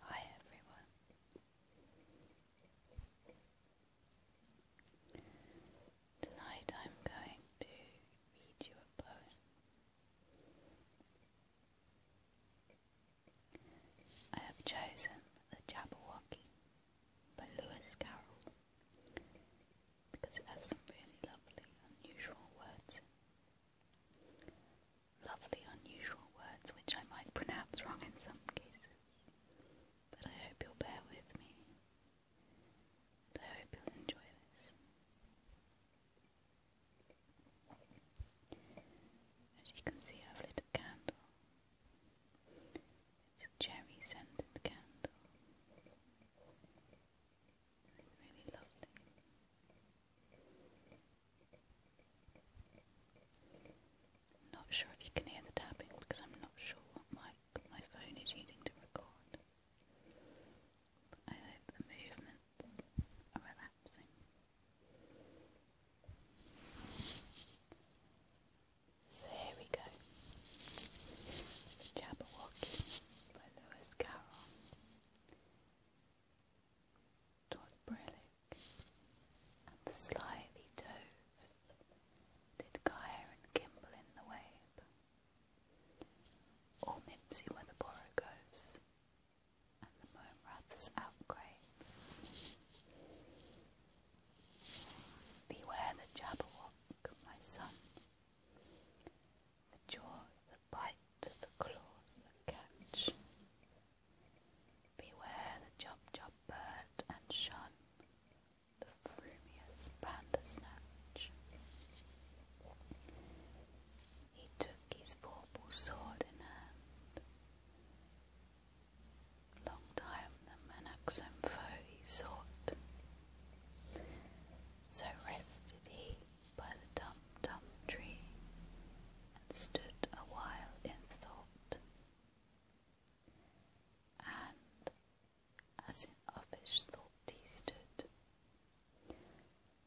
Hi everyone. Tonight I'm going to read you a poem. I have chosen The Jabberwocky by Lewis Carroll because it has some really lovely, unusual words Lovely, unusual words which I might pronounce wrong in some cases, but I hope you'll bear with me, I hope you'll enjoy this. As you can see, I've lit a candle. It's a cherry scented candle not sure if you can hear the tapping because I'm not sure what my, my phone is using to record. But I hope the movements are relaxing. So here we go. The Jabberwocky by Lewis Carroll. Todd Brillick and the Slithy Toves did Gyre Kimble in the Wabe. All Mimsy were the Borogos and the Moamrath's outgrave. Beware the Jabberwock, my son the jaws that bite, the claws that catch. Beware the chop chop bird and shun the frumious bandersnatch. He took his purple sword in hand. Long time the Manaxem foe he sought. So rested he by the tum-tum tree, and stood a while in thought. And, as in offish thought he stood,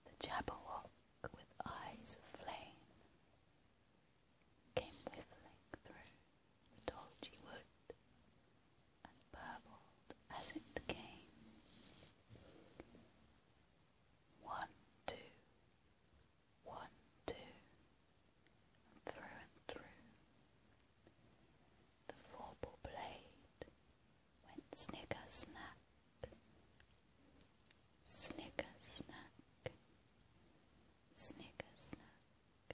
the Jabberwock with eyes of flame came whiffling through the dolgy wood, and as it came. One, two, one, two, and through and through. The 4 blade went snigger snack, snigger snack, snigger snack.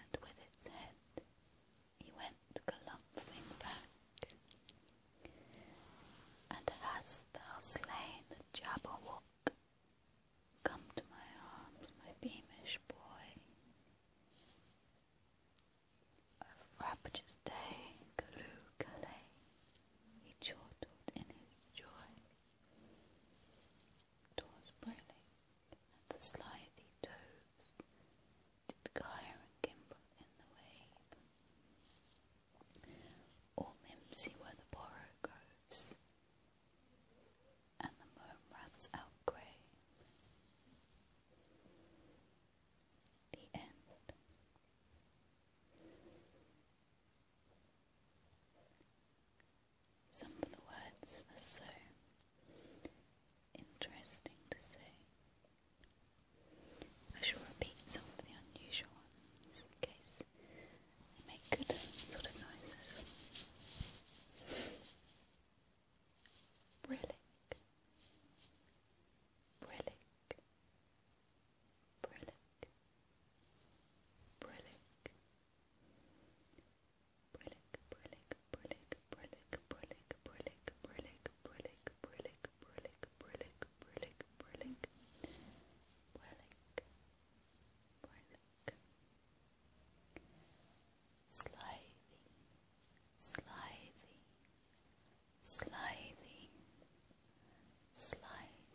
and with its head he went galumphing back. And hast thou slain the Jabberwock? Come to my arms, my beamish boy. Of rapageous day, Galoo Galay, he chortled in his joy towards Briley and the slithy toves did gyre and gimble in the wave. All mimsy were the borrow groves and the moon rats outgrain. The end. Some of the words are so interesting to say. I shall repeat some of the unusual ones in case they make good sort of noises. Brilliant. Brilliant. Brilliant. Brilliant. Burlick, Burlick, Burlick, Burlick, Burlick, Burlick, Burlick, Burlick, Burlick, Burlick, Burlick, Burlick, Burlick, Burlick, Burlick. Slithing, slithing, slithing,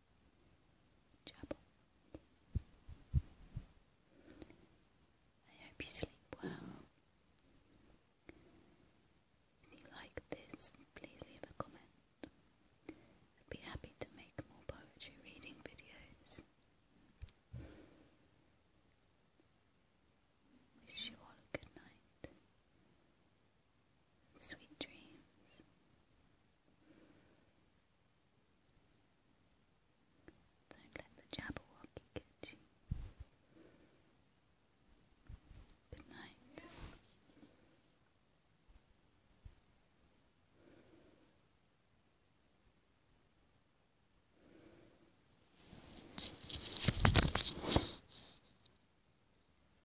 I hope you sleep well. If you like this, please leave a comment. I'd be happy to make more poetry reading videos. Wish you all a good night. Sweet dreams. Don't let the Jabberwocky get you. Good night.